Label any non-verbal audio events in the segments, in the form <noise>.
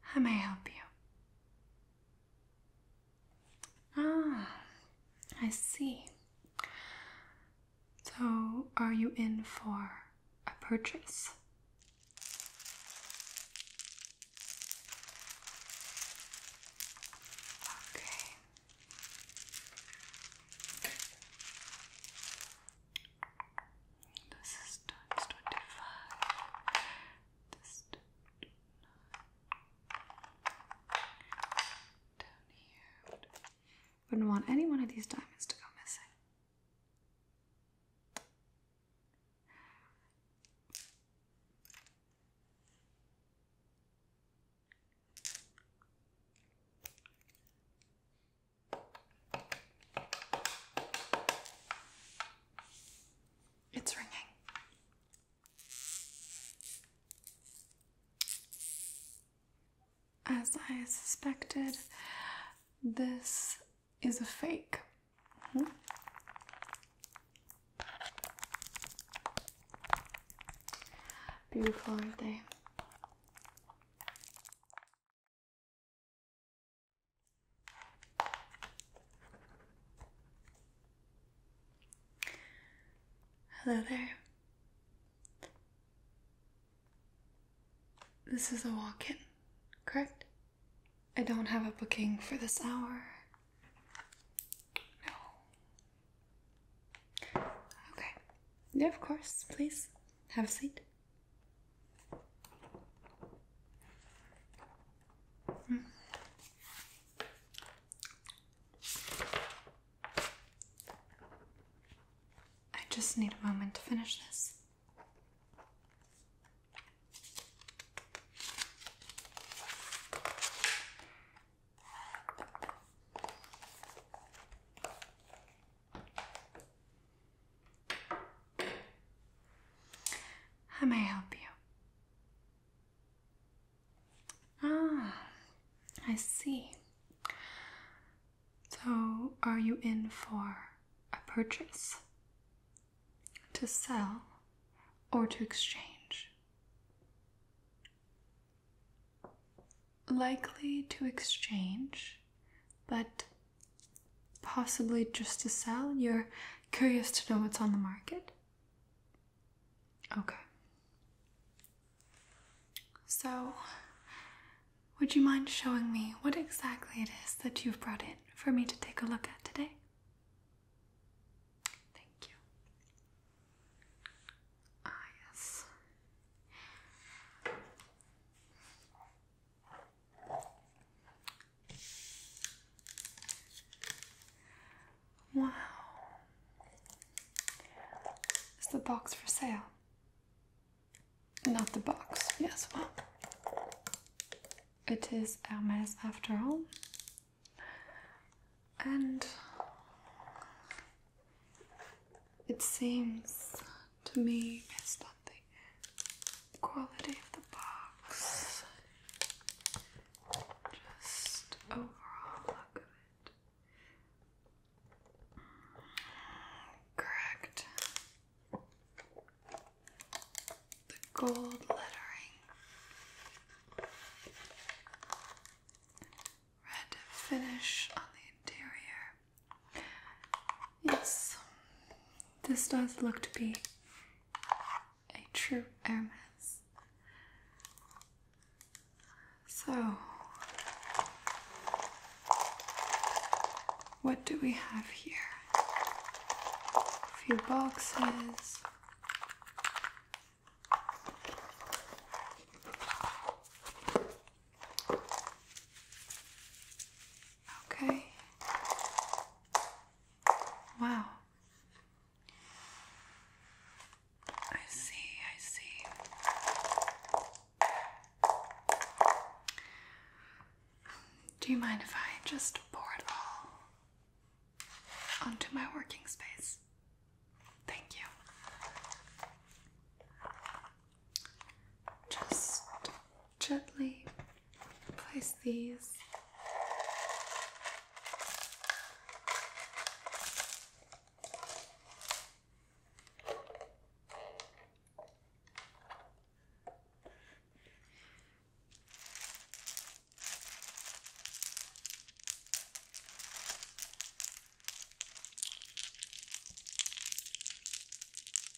How may I help you? Ah, I see. So, are you in for a purchase? Okay. This is times 25. This down here. Wouldn't want any one of these diamonds to go missing. It's ringing. As I suspected, this is a fake. Hmm? Beautiful, aren't they? Hello there. This is a walk in, correct? I don't have a booking for this hour. No. Okay. Yeah, of course. Please have a seat. Mm. I just need a moment to finish this. How may I help you? Ah, I see. So, are you in for a purchase? To sell or to exchange? Likely to exchange, but Possibly just to sell? You're curious to know what's on the market? Okay. So, would you mind showing me what exactly it is that you've brought in for me to take a look at today? Thank you. Ah, yes. Wow. Is the box for sale? Not the box, yes, well. It is Hermes after all. And it seems to me it's on the quality of the box. Just overall look of it. Correct. The gold lettering. Red finish on the interior. Yes, this does look to be a true Hermes. So, what do we have here? A few boxes. Okay. Wow. I see, I see. Do you mind if I just pour it all onto my working space? Thank you just gently place these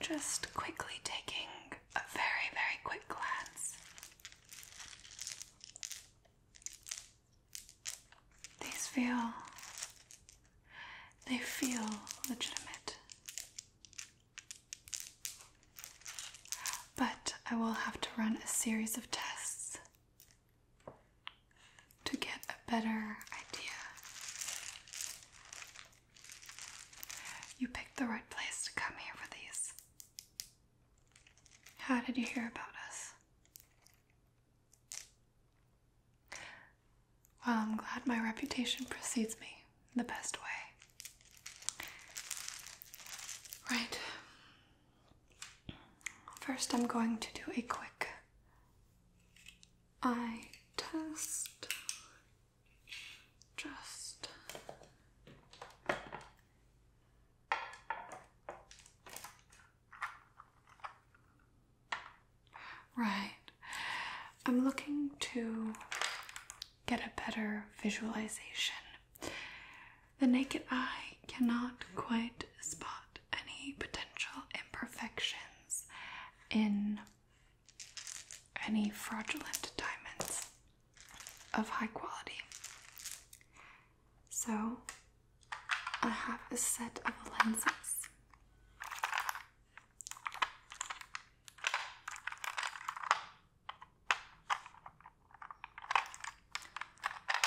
Just quickly taking a very, very quick glance. These feel, they feel legitimate. But I will have to run a series of tests to get a better idea. You picked the right place to come here for these. How did you hear about us? Well, I'm glad my reputation precedes me the best way. Right. First, I'm going to do a quick eye test. Just right. I'm looking to get a better visualization the naked eye cannot quite spot any potential imperfections in any fraudulent diamonds of high quality. So I have a set of lenses.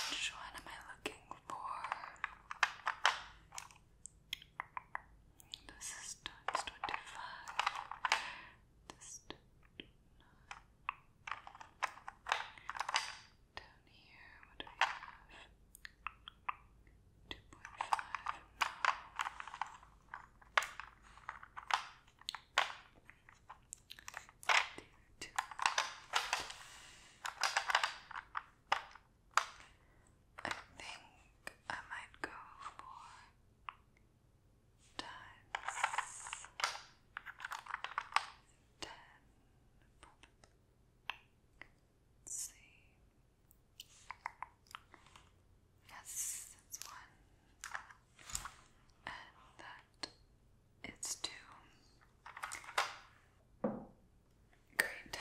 Which one am I looking for? This is twenty five. This down here. What do we have? Two point five. I think I might go for times ten, probably. Yes, that's one. And that it's two. Great.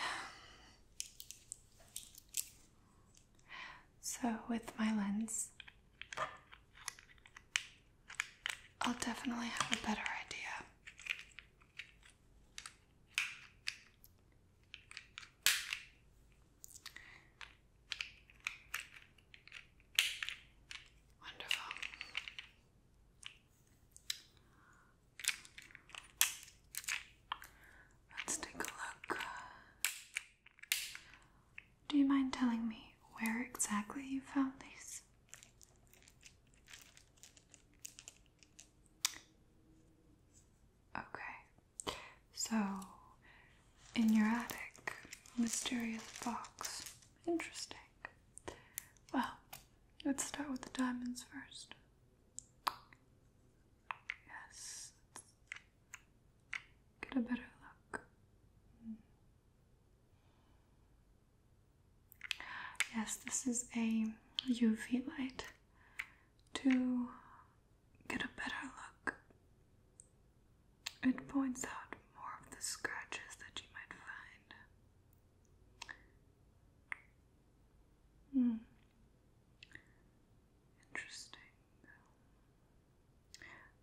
So, with my lens, I'll definitely have a better idea. Wonderful. Let's take a look. Do you mind telling me where exactly you found these? Okay, so in your attic, mysterious box. Interesting. Well, let's start with the diamonds first. Yes, get a better look. Mm. Yes, this is a UV light to get a better look. It points out more of the scratches that you might find. Hmm. Interesting.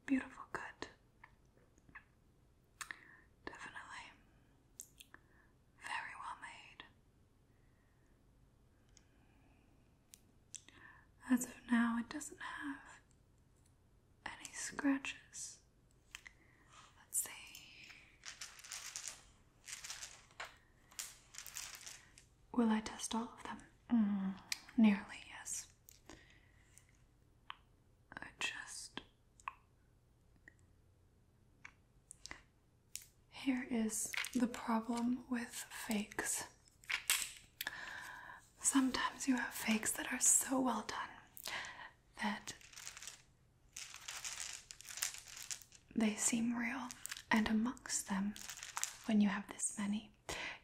Beautiful, good. Definitely. Very well made. As of now, it doesn't have any scratches. Let's see. Will I test all of them? Mm, nearly, yes. I just. Here is the problem with fakes. Sometimes you have fakes that are so well done that they seem real, and amongst them, when you have this many,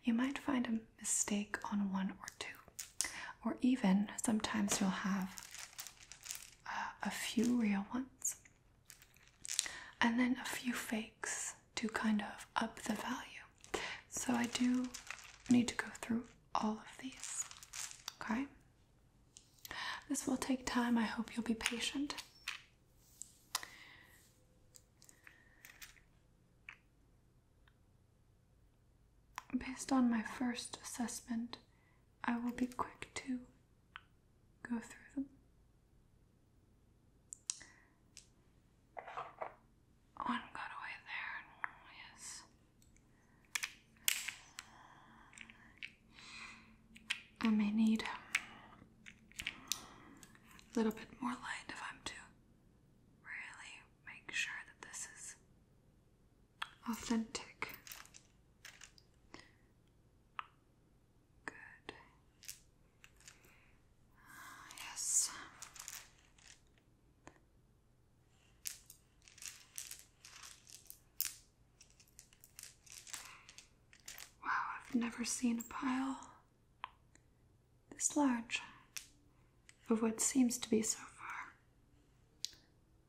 you might find a mistake on one or two, or even sometimes you'll have a few real ones and then a few fakes to kind of up the value. So I do need to go through all of these. Okay? This will take time. I hope you'll be patient. Based on my first assessment, I will be quick to go through them. One got away there, yes. I may need a little bit more light if I'm to really make sure that this is authentic. Good. yes. Wow, I've never seen a pile this large of what seems to be so far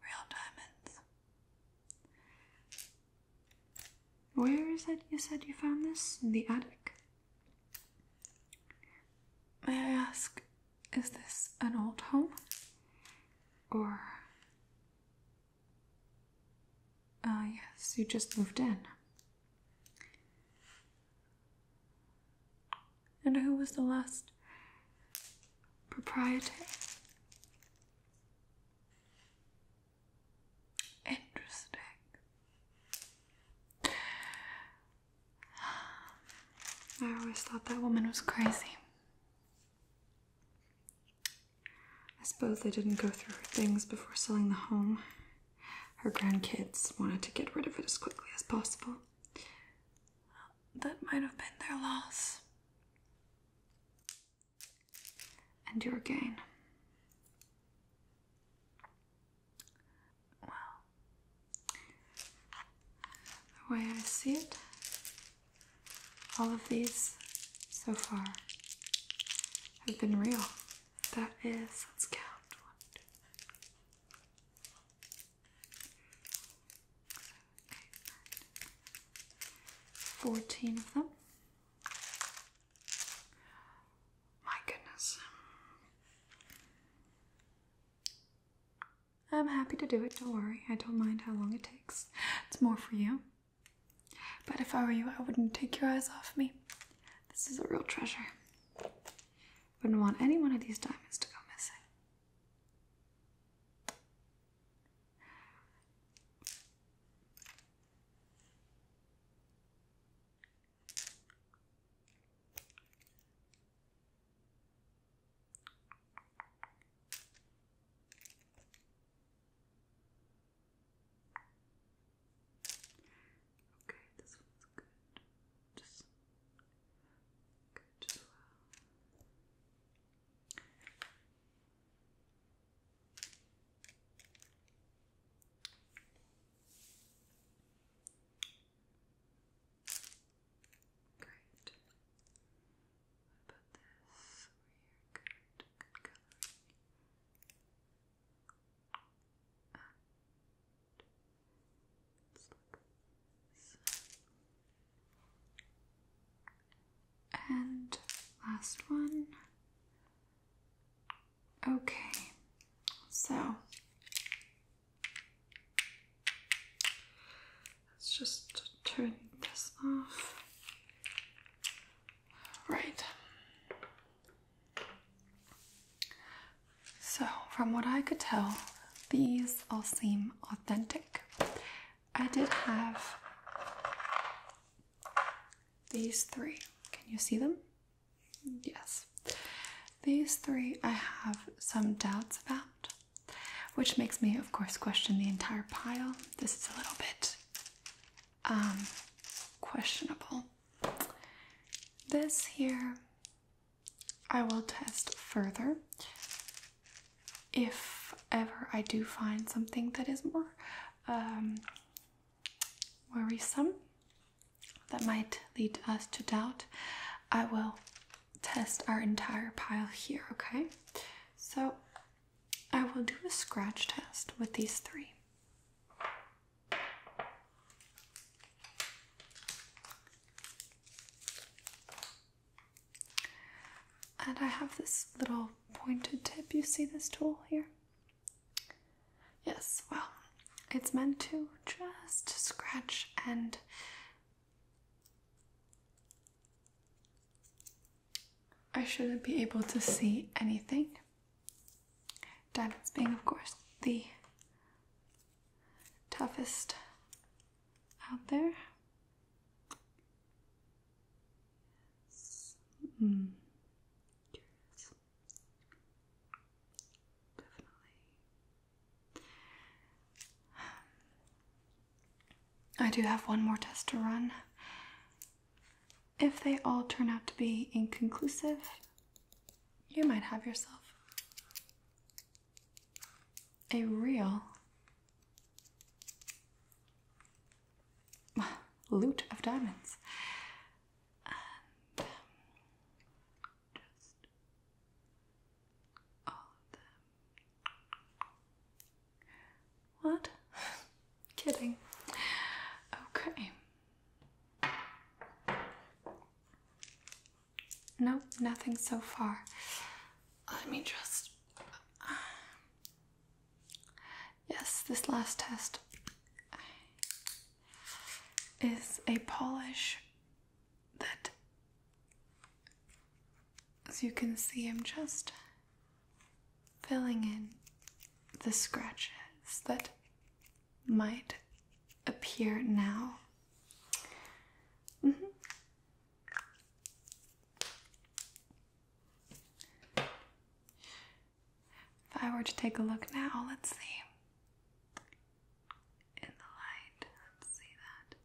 real diamonds. Where is it you said you found this? In the attic? May I ask is this an old home? Or. Ah, yes, you just moved in. And who was the last proprietor? Interesting. I always thought that woman was crazy. I suppose they didn't go through her things before selling the home. Her grandkids wanted to get rid of it as quickly as possible. That might have been their loss. And your gain well, the way I see it, all of these so far have been real. That is, let's count 14 of them. My goodness. I'm happy to do it, don't worry. I don't mind how long it takes. It's more for you. But if I were you, I wouldn't take your eyes off me. This is a real treasure. Wouldn't want any one of these diamonds to go missing. Okay, this one's good. Just good as well. Great. about this? We're good. Good coloring. And let's look And last one. Okay, so Let's just turn this off. Right. So, from what I could tell, these all seem authentic. I did have these three. Can you see them? Yes. These three I have some doubts about, which makes me, of course, question the entire pile. This is a little bit um, questionable. This here I will test further if ever I do find something that is more um, worrisome that might lead us to doubt. I will test our entire pile here, okay? So I will do a scratch test with these three. And I have this little pointed tip. You see this tool here? Yes, well, it's meant to just scratch and I shouldn't be able to see anything. Diamonds being, of course, the toughest out there. Mm. Definitely I do have one more test to run. If they all turn out to be inconclusive, you might have yourself a real loot of diamonds just all of them. What? <laughs> Kidding. Okay. Nope, nothing so far. Let me just. Yes, this last test is a polish that, as you can see, I'm just filling in the scratches that might appear now. Mm-hmm. If I were to take a look now, let's see in the light. Let's see that.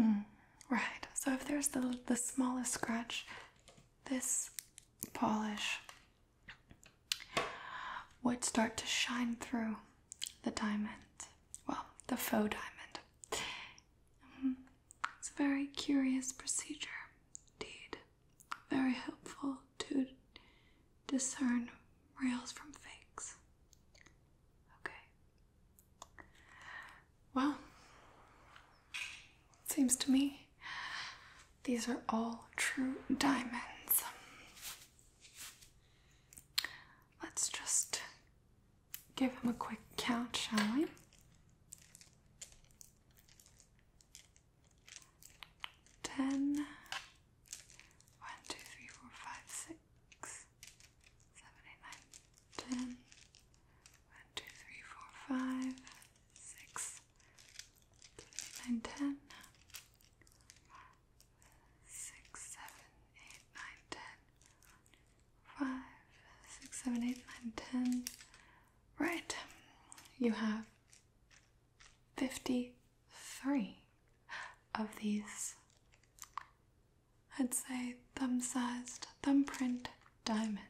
Yes. Mm, right. So if there's the the smallest scratch, this polish would start to shine through the diamond. Well, the faux diamond. Mm-hmm. it's a very curious procedure indeed very helpful to discern reals from fakes. Okay. Well, it seems to me these are all true diamonds. Let's just give him a quick count, shall we? ten, one, two, three, four, five, six, seven, eight, nine, ten, one, two, three, four, five, six, seven, eight, nine, ten, six, seven, eight, nine, ten, five, six, seven, eight, nine, ten. Right, you have 53 of these, I'd say, thumb sized thumbprint diamonds.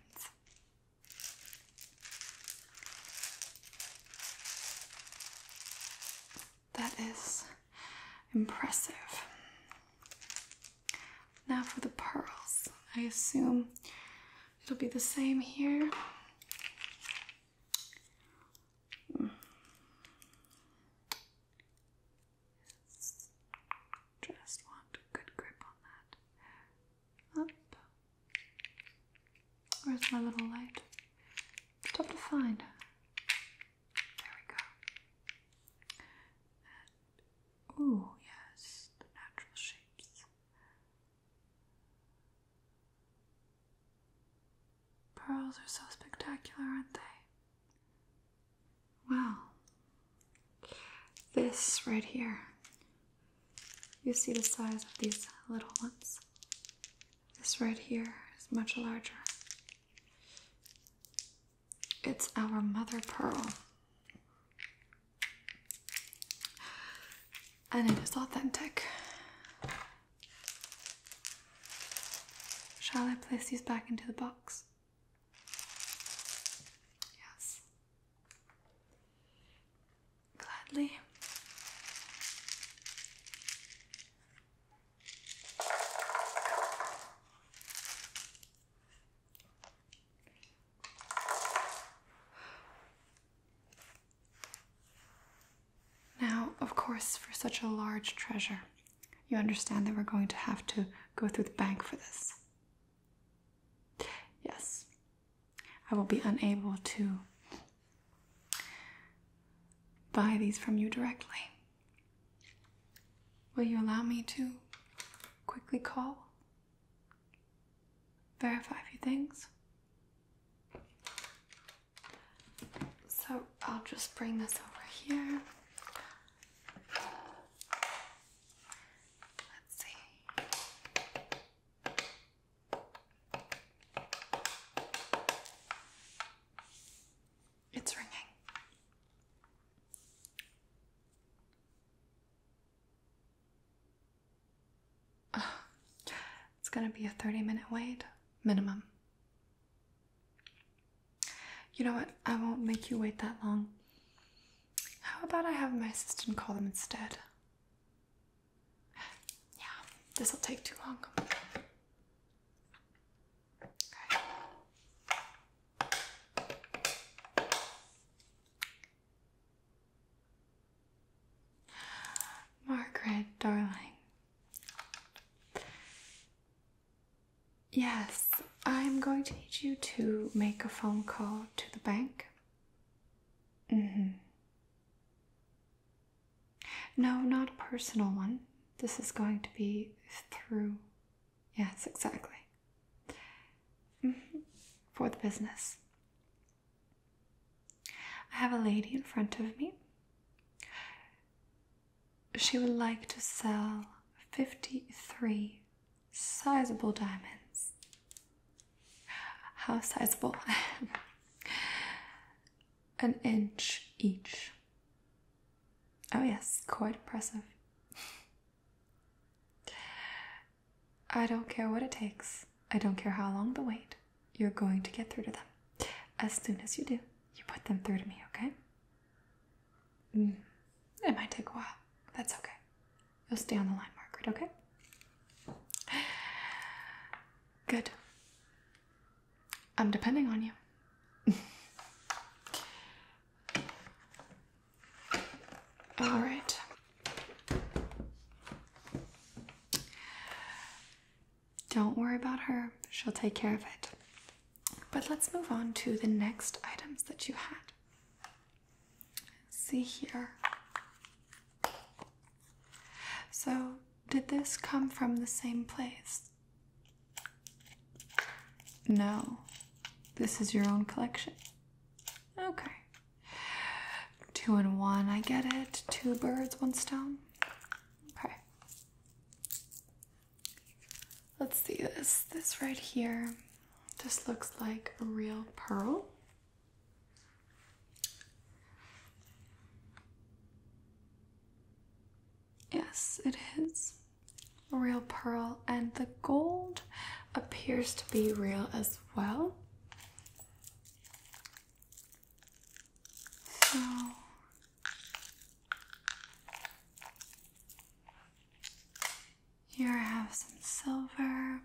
That is impressive. Now for the pearls. I assume It'll be the same here. Just want good grip on that. Where's my little light? Tough to find. There we go. ooh, yes, the natural shapes. Pearls are so spectacular, aren't they? Wow. This right here. You see the size of these little ones. This right here is much larger. It's our mother pearl. And it is authentic. Shall I place these back into the box? Yes. Gladly. Now, of course, for such a large treasure, you understand that we're going to have to go through the bank for this. Yes, I will be unable to buy these from you directly. Will you allow me to quickly call verify a few things. So I'll just bring this over here. Let's see. It's ringing. <sighs> It's gonna be a 30 minute wait, minimum. You know what? I won't make you wait that long. How about I have my assistant call them instead? Yeah, this'll take too long. Okay. Margaret, darling. Yes, I'm going to need you to make a phone call to the bank. Mm-hmm. No, not a personal one. This is going to be through. Yes, exactly. Mm-hmm. For the business. I have a lady in front of me. She would like to sell 53 sizable diamonds. How sizable? <laughs> An inch each. Oh, yes, quite impressive. I don't care what it takes. I don't care how long the wait. You're going to get through to them. As soon as you do, you put them through to me, okay? Mm. It might take a while. That's okay. You'll stay on the line, Margaret, okay? Good. I'm depending on you. <laughs> All right. Don't worry about her, she'll take care of it. But let's move on to the next items that you had. See here. So, did this come from the same place? No. This is your own collection. Okay, Two and one, I get it. Two birds, one stone. Okay. Let's see this. This right here just looks like a real pearl. Yes, it is a real pearl, and the gold appears to be real as well. So here I have some silver,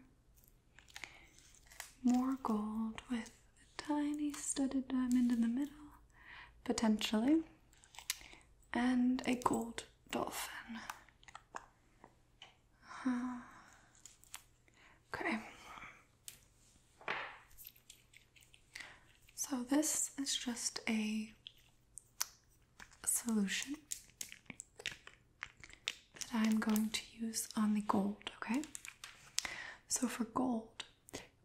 more gold with a tiny studded diamond in the middle, potentially, and a gold dolphin. Okay. So this is just a solution that I'm going to use on the gold, okay? So for gold,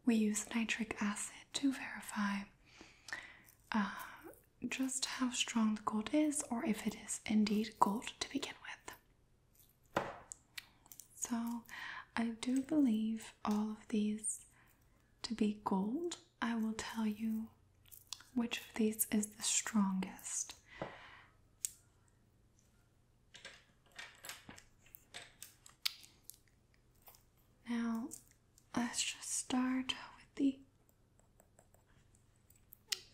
we use nitric acid to verify uh, just how strong the gold is or if it is indeed gold to begin so, I do believe all of these to be gold. I will tell you which of these is the strongest. Now, let's just start with the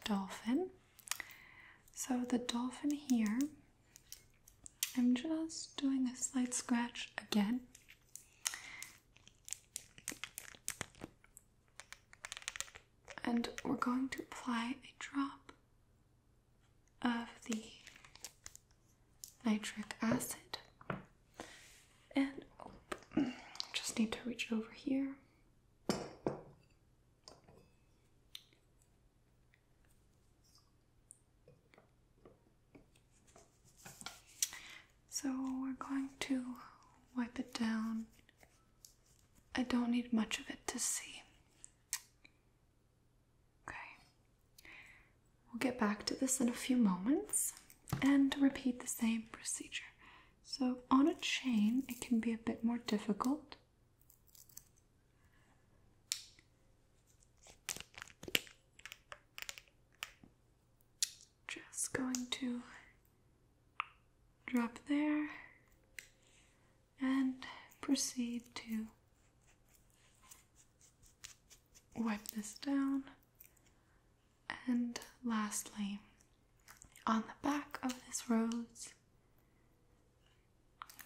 dolphin. So the dolphin here, I'm just doing a slight scratch again. And we're going to apply a drop of the nitric acid. And oh, just need to reach over here. So we're going to wipe it down. I don't need much of it to see. Okay. We'll get back to this in a few moments and repeat the same procedure. So on a chain, it can be a bit more difficult. Just going to drop there and proceed to wipe this down. And lastly, on the back of this rose.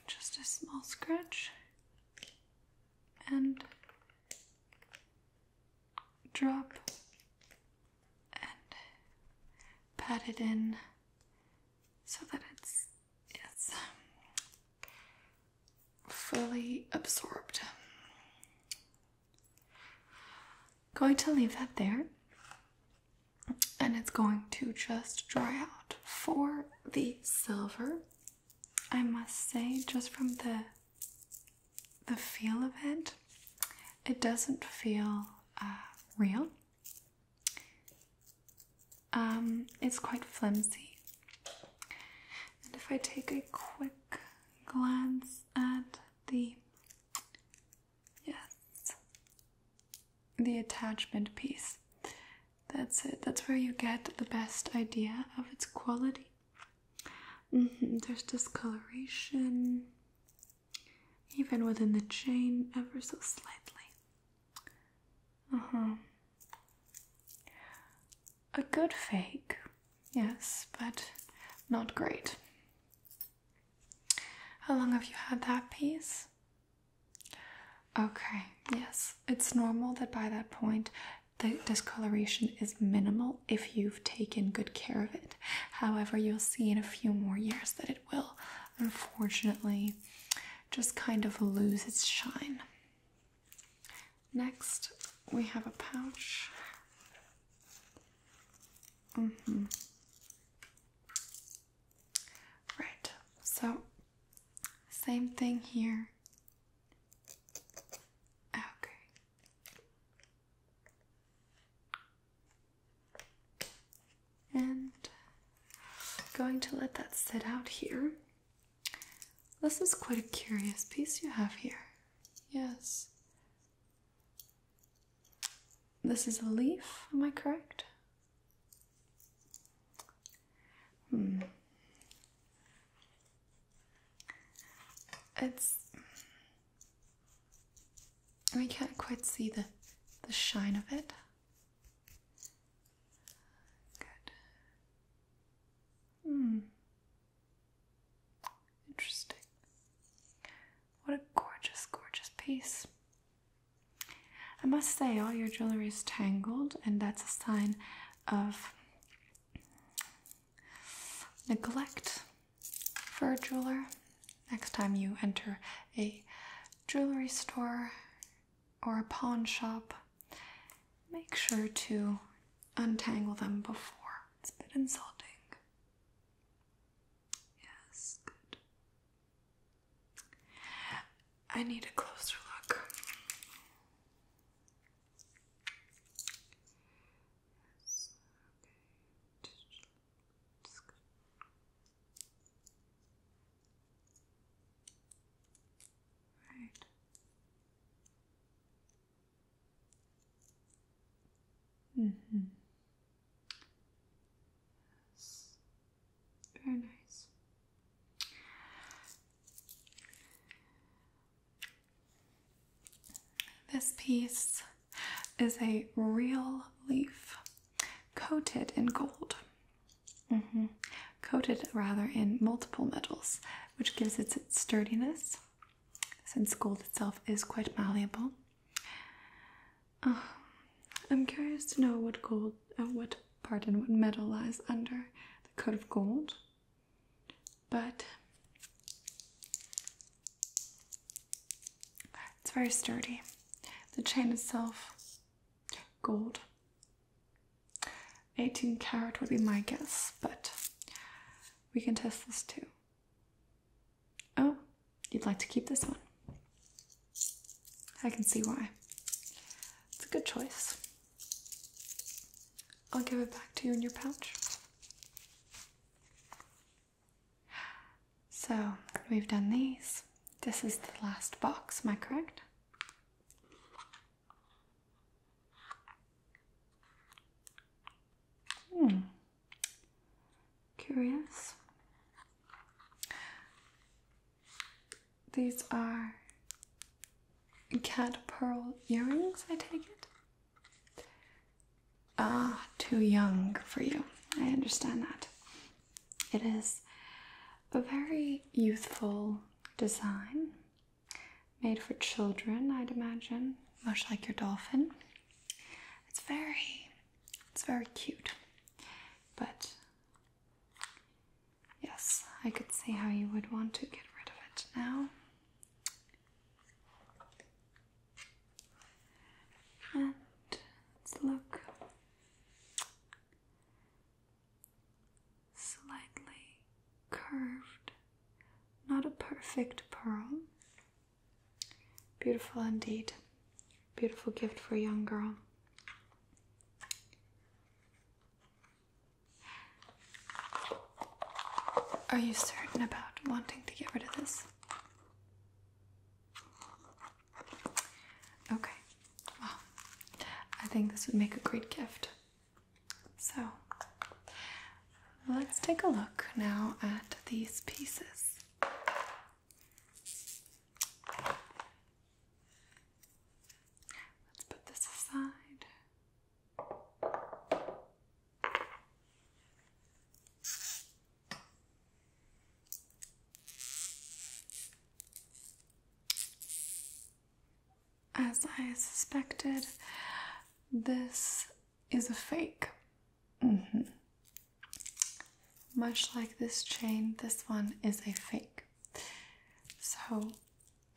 Just a small scratch and drop and pat it in so that it's it's um, fully absorbed. Going to leave that there and it's going to just dry out for the silver. I must say, just from the the feel of it, it doesn't feel uh, real. Um, it's quite flimsy. And if I take a quick glance at the Yes. The attachment piece. That's it. That's where you get the best idea of its quality. Mm-hmm. There's discoloration, even within the chain, ever so slightly. Uh huh. A good fake, yes, but not great. How long have you had that piece? Okay, yes, it's normal that by that point the discoloration is minimal if you've taken good care of it. However, you'll see in a few more years that it will, unfortunately, just kind of lose its shine. Next, we have a pouch. Mm -hmm. Right, so same thing here. Okay. And going to let that sit out here. This is quite a curious piece you have here. Yes. This is a leaf, am I correct? Hmm. It's we can't quite see the the shine of it. Good. Hmm. Interesting. What a gorgeous, gorgeous piece. I must say, all your jewelry is tangled, and that's a sign of neglect for a jeweler. Next time you enter a jewelry store or a pawn shop, make sure to untangle them before. It's a bit insulting. Yes, good. I need a closer look. Yes, good. Right. Mm -hmm. Very nice. This piece is a real leaf coated in gold. Mm-hmm. Coated rather in multiple metals, which gives it its sturdiness since gold itself is quite malleable. Oh, <sighs> I'm curious to know what gold, uh, what pardon, what metal lies under the coat of gold. But it's very sturdy. The chain itself, gold. 18 carat would be my guess, but we can test this too. Oh, you'd like to keep this one. I can see why. It's a good choice. I'll give it back to you in your pouch. So, we've done these. This is the last box, am I correct? Hmm, Curious. These are cat pearl earrings, I take it. Ah, too young for you. I understand that. It is a very youthful design, made for children, I'd imagine, much like your dolphin. It's very it's very cute. But yes, I could see how you would want to get rid of it now. And let's look slightly curved, not a perfect pearl, Beautiful indeed. Beautiful gift for a young girl. Are you certain about wanting to get rid of this? Okay, well, I think this would make a great gift. So, let's take a look now at these pieces. Let's put this aside. As I suspected, this is a fake. Mm -hmm. Much like this chain, this one is a fake. So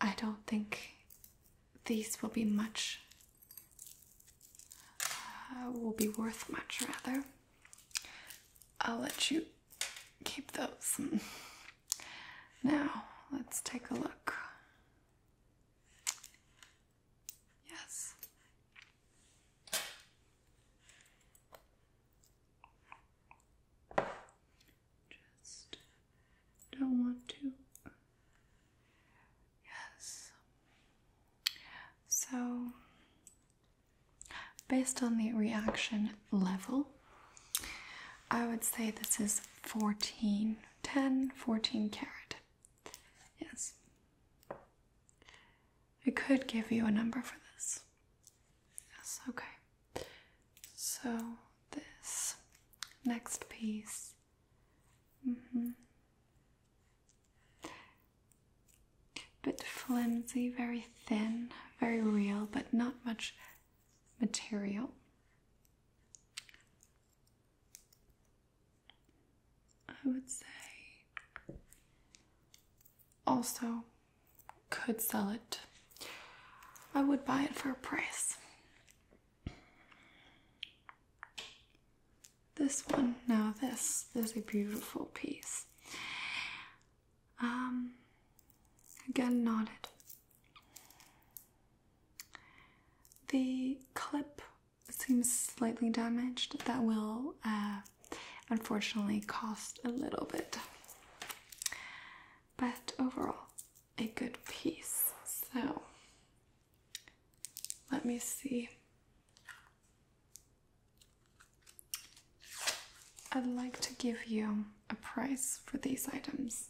I don't think these will be much, uh, will be worth much rather. I'll let you keep those. <laughs> Now, let's take a look. Yes. Just don't want to. Yes. So, based on the reaction level, I would say this is 14, 10, 14 carat. Yes. I could give you a number for this. Yes, okay. So, this next piece. Mm -hmm. Bit flimsy, very thin, very real, but not much material. I would say also could sell it. I would buy it for a price. This one, now this, is a beautiful piece. Um, again, knotted. The clip it seems slightly damaged, that will uh, unfortunately cost a little bit. But overall, a good piece. So let me see. I'd like to give you a price for these items.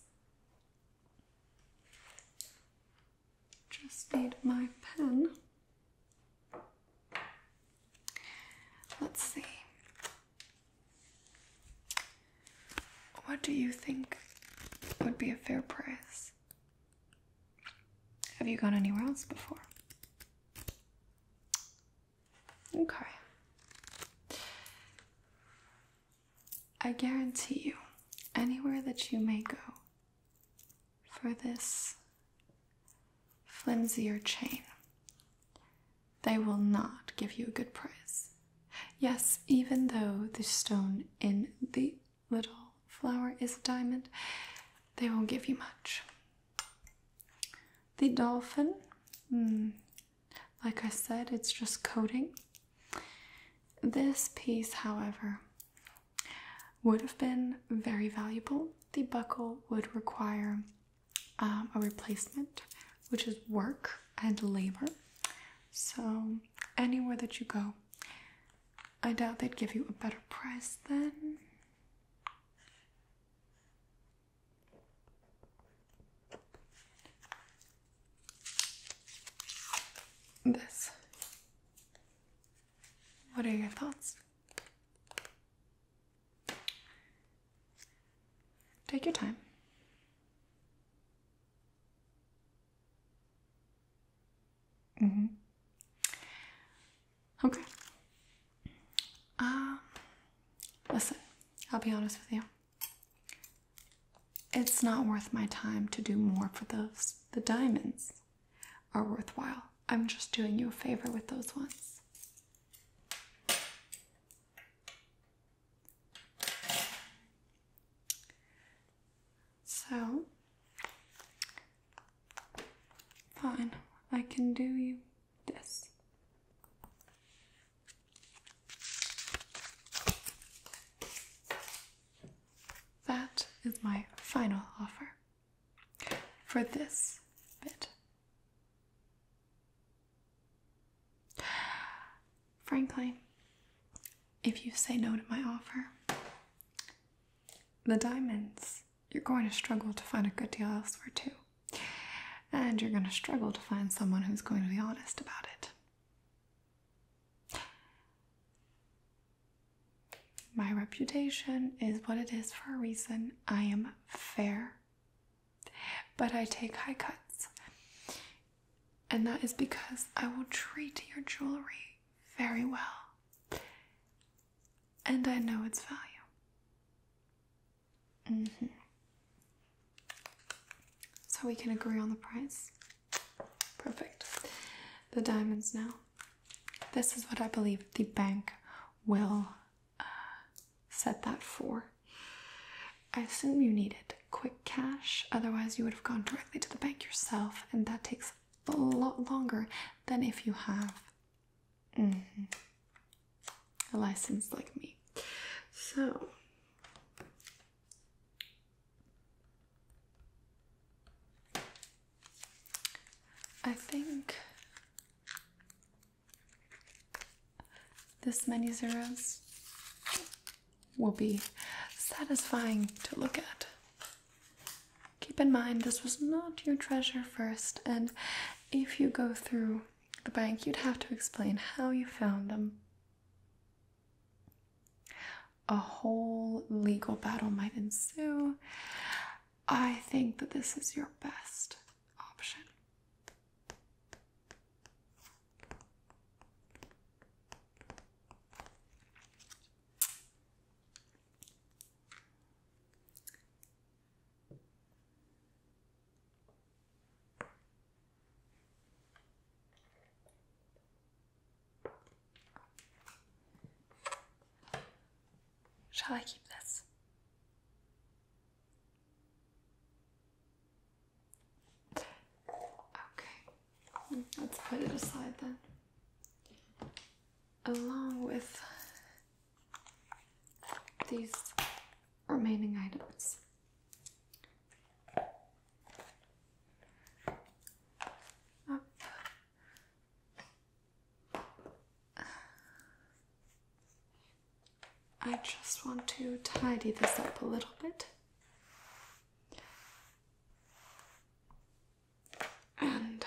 Just need my pen. Let's see. What do you think would be a fair price? Have you gone anywhere else before? Okay. I guarantee you, anywhere that you may go, for this flimsier chain. They will not give you a good price. Yes, even though the stone in the little flower is a diamond, they won't give you much. The dolphin, hmm, like I said, it's just coating. This piece, however, would have been very valuable. The buckle would require um, a replacement, which is work and labor. So, anywhere that you go, I doubt they'd give you a better price than This. What are your thoughts? Take your time. Mm-hmm. Okay. Um, listen, I'll be honest with you. It's not worth my time to do more for those, the diamonds are worthwhile. I'm just doing you a favor with those ones. So, fine, I can do you this. That is my final offer for this bit. Frankly, if you say no to my offer, the diamonds, you're going to struggle to find a good deal elsewhere too. And you're going to struggle to find someone who's going to be honest about it. My reputation is what it is for a reason. I am fair, but I take high cuts, and that is because I will treat your jewelry very well, and I know its value. Mm-hmm. So we can agree on the price. Perfect. The diamonds now. This is what I believe the bank will uh, set that for. I assume you needed quick cash, otherwise, you would have gone directly to the bank yourself, and that takes a lot longer than if you have mm-hmm, a license like me. So, I think this many zeros will be satisfying to look at. Keep in mind, this was not your treasure first, and if you go through the bank, you'd have to explain how you found them a whole legal battle might ensue. I think that this is your best option. Shall I keep this? Okay, let's put it aside then. Along with these remaining items. Up I just want to tidy this up a little bit. And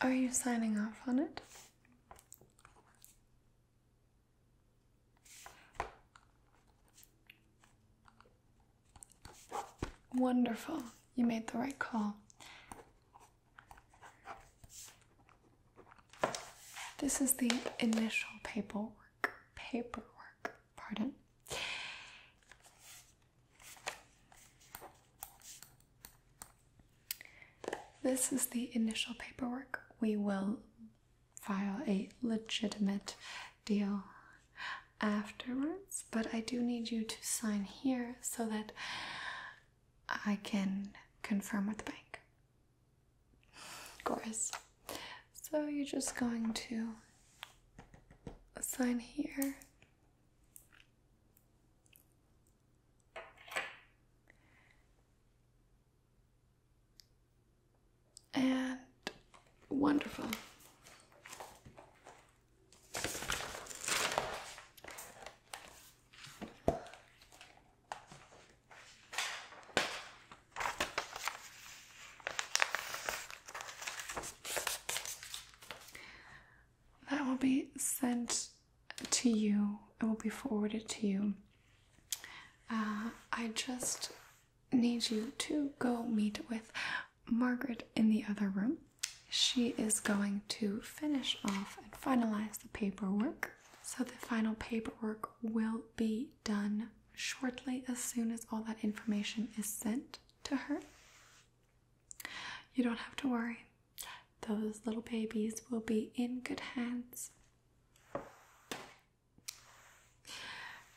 are you signing off on it? Wonderful. You made the right call. This is the initial paperwork. Paperwork, pardon. This is the initial paperwork. We will file a legitimate deal afterwards, but I do need you to sign here so that I can confirm with the bank. Of course. So you're just going to sign here and wonderful. That will be sent to you, it will be forwarded to you. Uh, I just Needs you to go meet with Margaret in the other room. She is going to finish off and finalize the paperwork. So, the final paperwork will be done shortly as soon as all that information is sent to her. You don't have to worry, those little babies will be in good hands.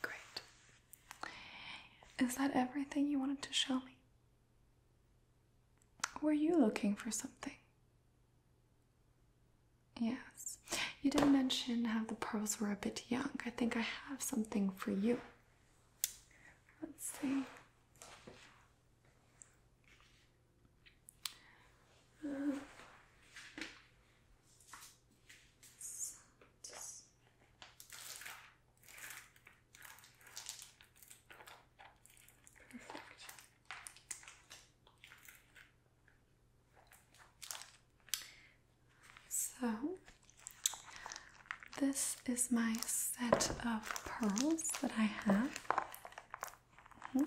Great. Is that everything you wanted to show me? Were you looking for something? Yes. You did mention how the pearls were a bit young. I think I have something for you. Let's see. Uh, perfect. So, this is my set of pearls that I have. Mm-hmm.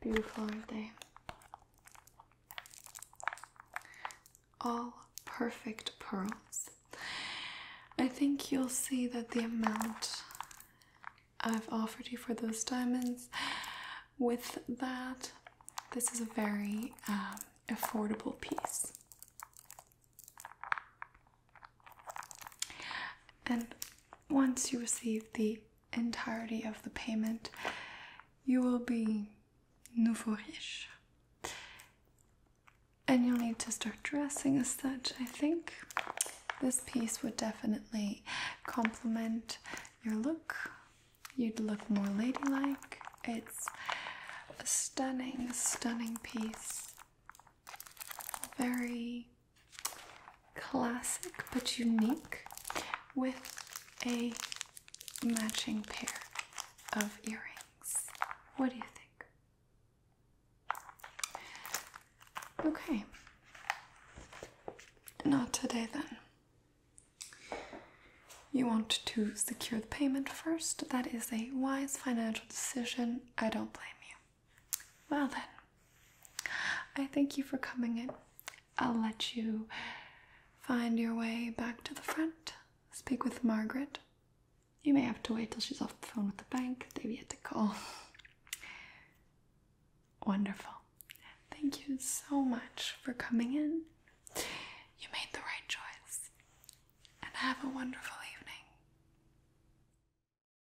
Beautiful, aren't they? All perfect pearls. I think you'll see that the amount I've offered you for those diamonds, with that, this is a very um, affordable piece. And once you receive the entirety of the payment, you will be nouveau riche. And you'll need to start dressing as such, I think. This piece would definitely complement your look. You'd look more ladylike. It's a stunning, stunning piece. Very classic but unique with a matching pair of earrings. What do you think? Okay. Not today then. You want to secure the payment first. That is a wise financial decision. I don't blame you. Well, then, I thank you for coming in. I'll let you find your way back to the front, speak with Margaret. You may have to wait till she's off the phone with the bank. They've yet to call. <laughs> Wonderful. Thank you so much for coming in. You made the right choice. And have a wonderful evening.